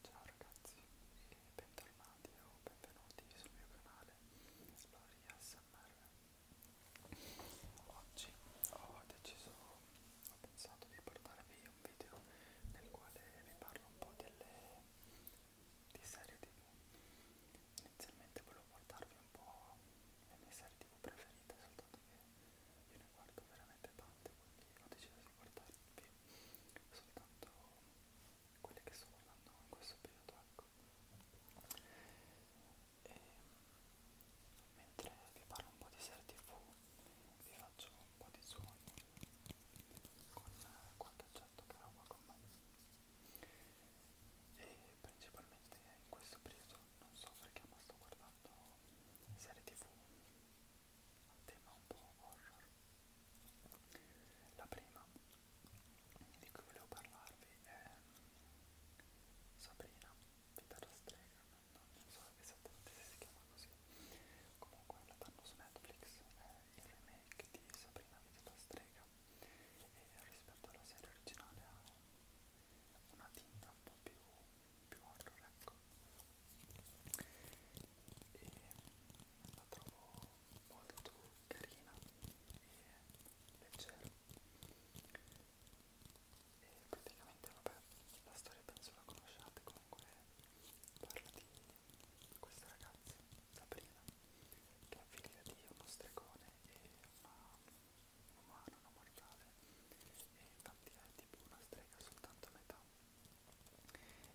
Ciao ragazzi e bentornati o benvenuti sul mio canale Loria SMR Oggi ho deciso, ho pensato di portarvi un video nel quale vi parlo un po' delle di serie tv Inizialmente volevo portarvi un po' le mie serie tv preferite soltanto che io ne guardo veramente tante, quindi ho deciso di guardarvi soltanto quelle che sto guardando in questo periodo, ecco. E mentre vi parlo un po' di serie tv, vi faccio un po' di zoom con qualche oggetto che roba con me. E principalmente in questo periodo, non so perché, ma sto guardando guardando serie tv a tema un po' horror. La prima di cui volevo parlarvi è ehm, Sabrina, vita da strega, non, non so esattamente se si chiama così. Comunque la danno su Netflix, è il remake di Sabrina, vita da strega e rispetto alla serie originale ha una tinta un po' più più altro ecco e la trovo molto carina e leggera e praticamente vabbè la storia penso la conosciate comunque parla di questa ragazza Sabrina che è figlia di uno stregone e una umano, non mortale e infatti è eh, tipo una strega soltanto a metà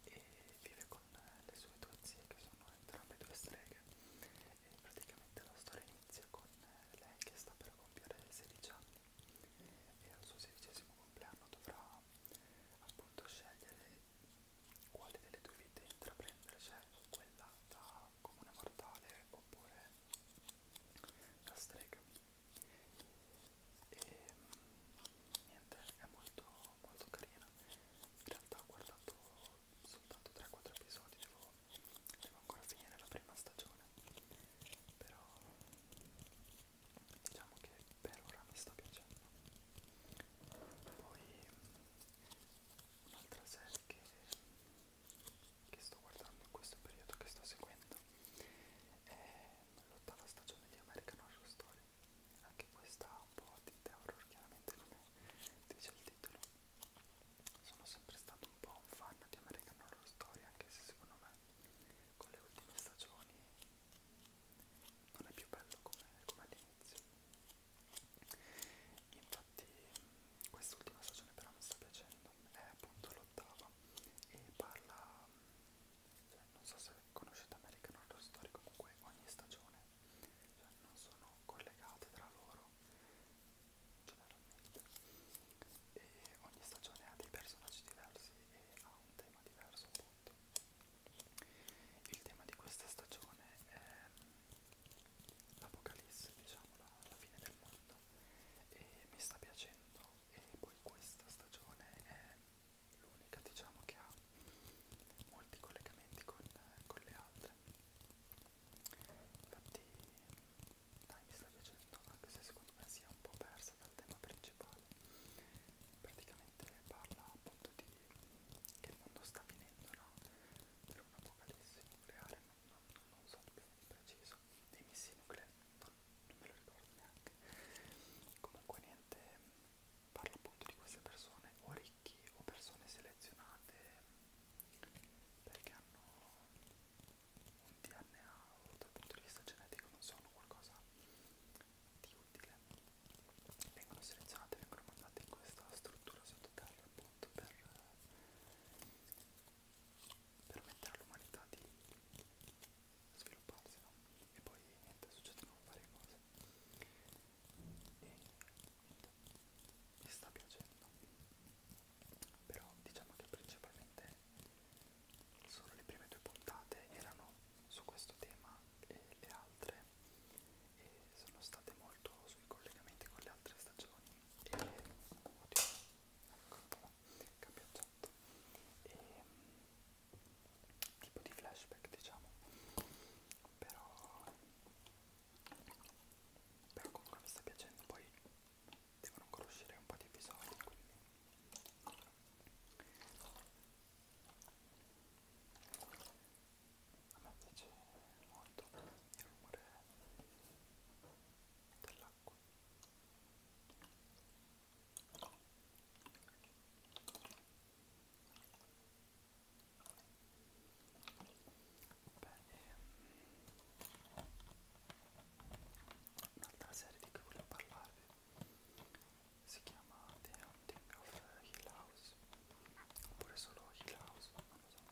e vive con eh, le sue due zie che sono entrambe due streghe e praticamente la storia inizia con eh, lei che sta per compiere 16 anni e al suo sedicesimo compleanno dovrà appunto scegliere quale delle due vite intraprendere, cioè quella da comune mortale oppure la strega e niente è molto molto carina in realtà ho guardato soltanto 3-4 episodi devo, devo ancora finire la prima stagione però diciamo che per ora mi sta piacendo poi un'altra serie che che sto guardando in questo periodo che sto seguendo è l'ottava stagione di American Horror Story anche questa un po' di horror chiaramente come dice il titolo sono sempre stato un po' un fan di American Horror Story anche se secondo me con le ultime stagioni non è più bello come, come all'inizio Infatti quest'ultima stagione però mi sta piacendo, è appunto l'ottava e parla, cioè non so se conoscete American Horror Story, comunque ogni stagione cioè non sono collegate tra loro generalmente e ogni stagione ha dei personaggi diversi e ha un tema diverso appunto. Il tema di questa stagione è l'apocalisse, diciamo, la, la fine del mondo e mi sta piacendo e poi questa stagione è l'unica diciamo che ha molti collegamenti con, con le altre infatti dai mi sta piacendo anche se secondo me sia un po' persa dal tema principale praticamente parla appunto di che il mondo sta finendo, no? Per un'apocalisse nucleare, non, non, non lo so più di preciso, dei missili nucleari, non, non me lo ricordo neanche. Comunque niente, parlo appunto di queste persone, o ricchi o persone selezionate perché hanno un DNA o dal punto di vista genetico non sono qualcosa di utile vengono selezionate, vengono mandate in questa struttura sottoterra appunto per permettere all'umanità di svilupparsi no? e poi niente, succedono varie cose e niente, mi sta piacendo però diciamo che principalmente solo le prime due puntate erano su questo tema e le altre e sono state molto sui collegamenti con le altre stagioni e oddio, ecco, capiacciato e ehm, tipo di flashback diciamo però però comunque mi sta piacendo poi devono ancora uscire un po' di episodi quindi a me piace molto il rumore dell'acqua Bene, un'altra serie di cui volevo parlarvi si chiama The Hunting of Hill House oppure solo Hill House, non lo so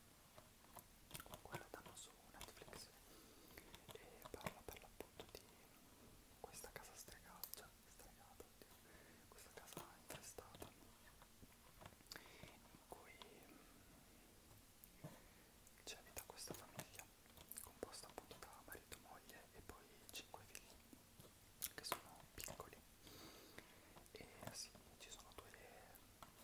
comunque la danno su Netflix e parla per l'appunto di questa casa stregata, cioè stregata, oddio, questa casa infestata in cui mm, c'è vita questa famiglia composta appunto da marito, moglie e poi cinque figli che sono piccoli e sì, ci sono due,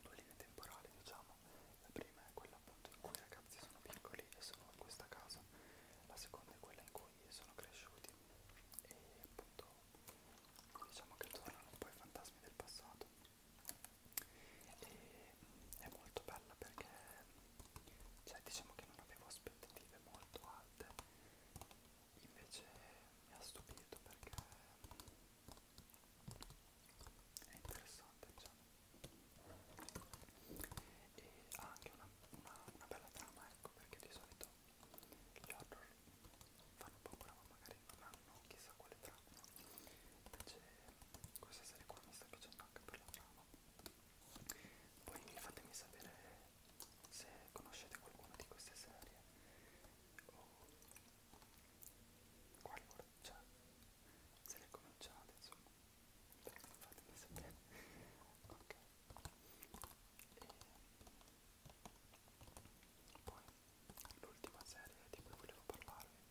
due linee temporali diciamo la prima è quella appunto in cui i ragazzi sono piccoli e sono in questa casa la seconda è quella in cui sono cresciuti e appunto diciamo che tornano un po' i fantasmi del passato e è molto bella perché cioè diciamo che non avevo aspettative molto alte invece mi ha stupito perché è interessante diciamo e ha anche una, una, una bella trama ecco perché di solito gli horror fanno paura ma magari non hanno chissà quale trama invece questa serie qua mi sta piacendo anche per la trama poi fatemi sapere se conoscete qualcuna di queste serie o quali cioè, se le cominciate insomma fatemi sapere ok e poi l'ultima serie di cui volevo parlarvi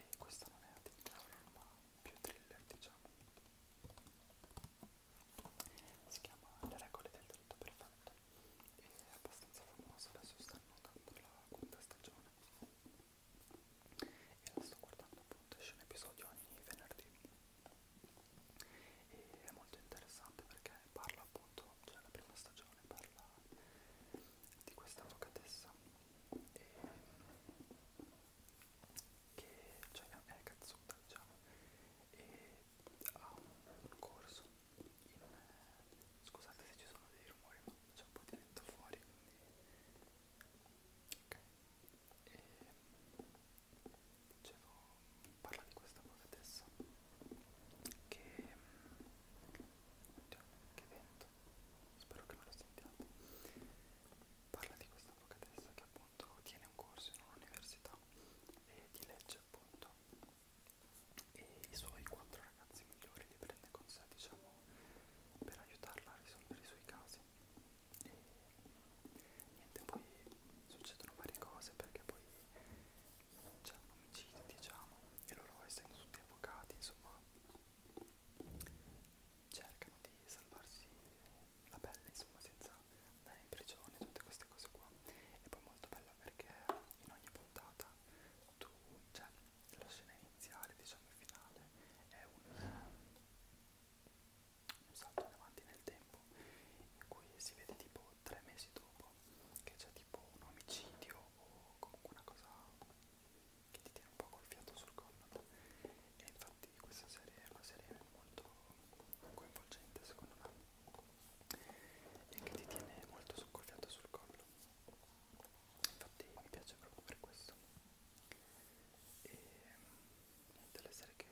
e questa non è la di terror ma più thriller diciamo si chiama Le regole del tutto perfetto e è abbastanza famosa adesso stanno andando la quinta stagione e la sto guardando appunto esce un episodio ogni venerdì e è molto interessante perché parla appunto cioè la prima stagione parla di questa avvocatessa e, che cioè, è cazzuta diciamo e ha un corso in, scusate se ci sono dei rumori ma c'è un po' di vento fuori ok e dicevo parla di questa avvocatessa che Oddio, che vento, spero che non lo sentiate. Parla di questa avvocatessa che appunto tiene un corso in un'università e di legge appunto e i suoi quattro ragazzi migliori li prende con sé diciamo per aiutarla a risolvere i suoi casi e niente poi succedono varie cose perché poi cioè diciamo, un omicidio diciamo e loro essendo tutti avvocati insomma cercano di salvarsi la pelle insomma senza andare in prigione tutte queste cose qua e poi molto bella perché in ogni puntata tu cioè la scena iniziale diciamo il finale è un, un salto in avanti nel tempo dopo, in cui si vede tipo tre mesi dopo che c'è tipo un omicidio o comunque una cosa che ti tiene un po' col fiato sul collo. E infatti questa serie è una serie molto coinvolgente secondo me e che ti tiene molto soccorfiato sul collo infatti mi piace proprio per questo e niente le serie che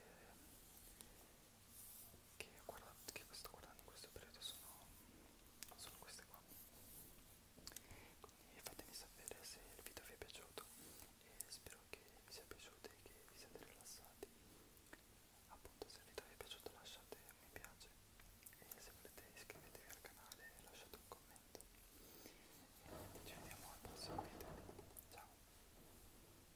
che, guardato, che sto guardando in questo periodo sono, sono queste qua quindi fatemi sapere se il video vi è piaciuto e spero che vi sia piaciuto e che vi siate rilassati appunto se il video vi è piaciuto lasciate un mi piace e se volete iscrivetevi al canale e lasciate un commento e ci vediamo al prossimo video ciao